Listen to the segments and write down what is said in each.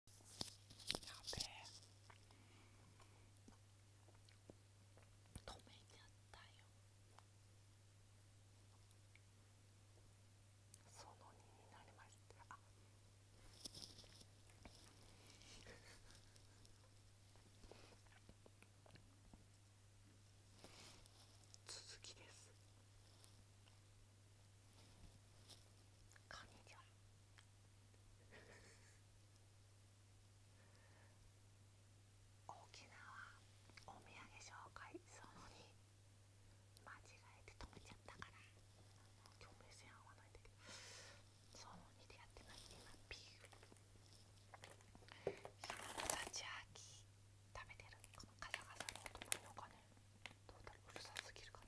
やべえ止めちゃったよその2になりましたあ続きですカニじゃん沖縄お土産紹介その2間違えて止めちゃったから共鳴線合わないで。その2でやってます今ビールひなこたち食べてるこのカサカサの音ものかねトータルうるさすぎるか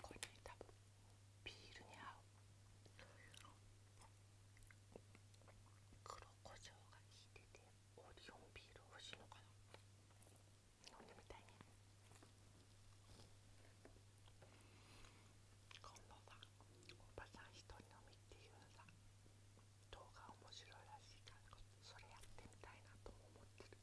これね多分ビールに合う黒胡椒が効いててオリオンビール欲しいのかな飲んでみたいね今度さおばさん一人飲みっていうのさ動画面白いらしいからそれやってみたいなと思ってる。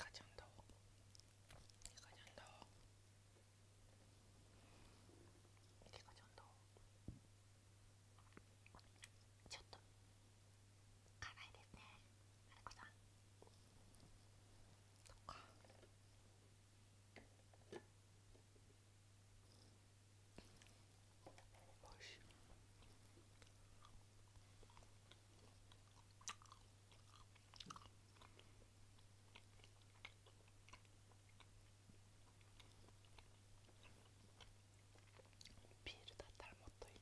가장더가장더이게가장더저도가라야되네알고서똑같おいしい。ビールだったらもっといい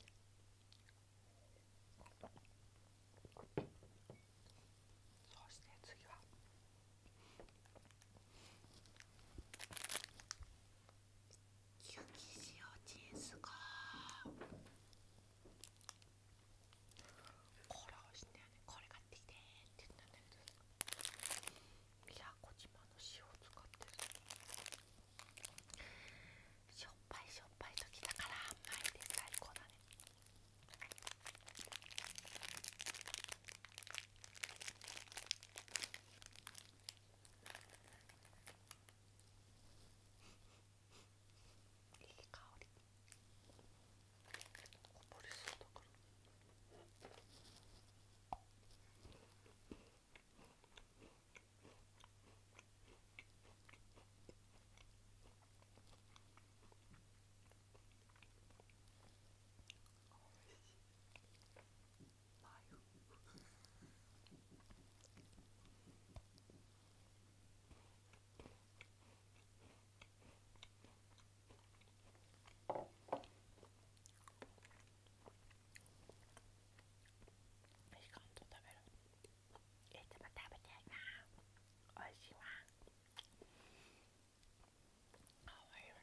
そうして次は雪塩チーズがこれ美味しいんだよねこれがってきてって言ったんだけど宮小島の塩を使ってるしょっぱいしょっぱい時だから甘いで最高だねいい香りこぼれそうだからおいしいナイフみかんと食べるいつも食べてるなおいしいわかわいいよね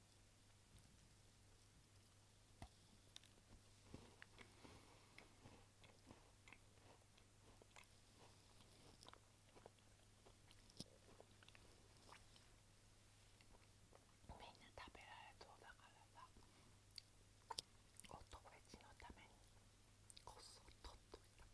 みんな食べられそうだからさお友達のためにこっそり取っといた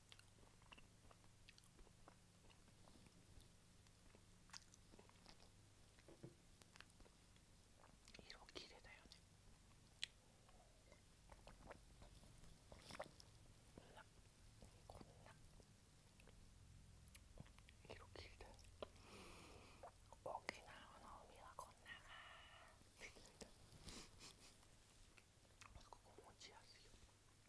色綺麗だよねこんなこんな色綺麗だよ沖縄の海はこんながここ持ちやすいよ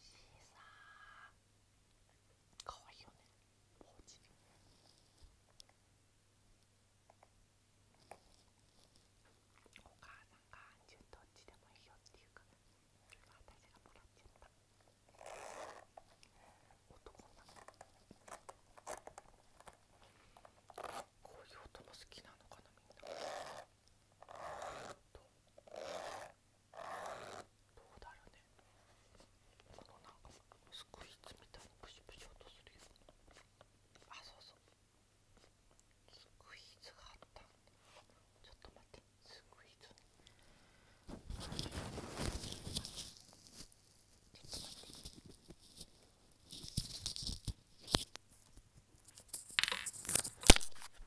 シーサーかわいいよねポーチお母さんが「どっちでもいいよ」っていうか私がもらっちゃった男なのこういう音も好きなのかなみんなと。どうだろうねこの中んかスクイズみたいなプシュプシュ音するよあそうそうスクイーズがあったちょっと待ってスクイーズちょっと待って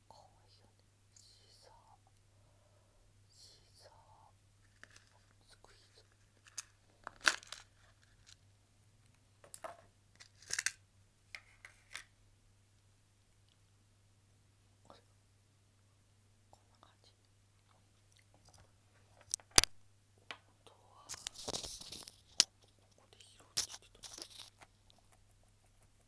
かわいいよねシーサーシーサこんな感じあとはここで拾ってきて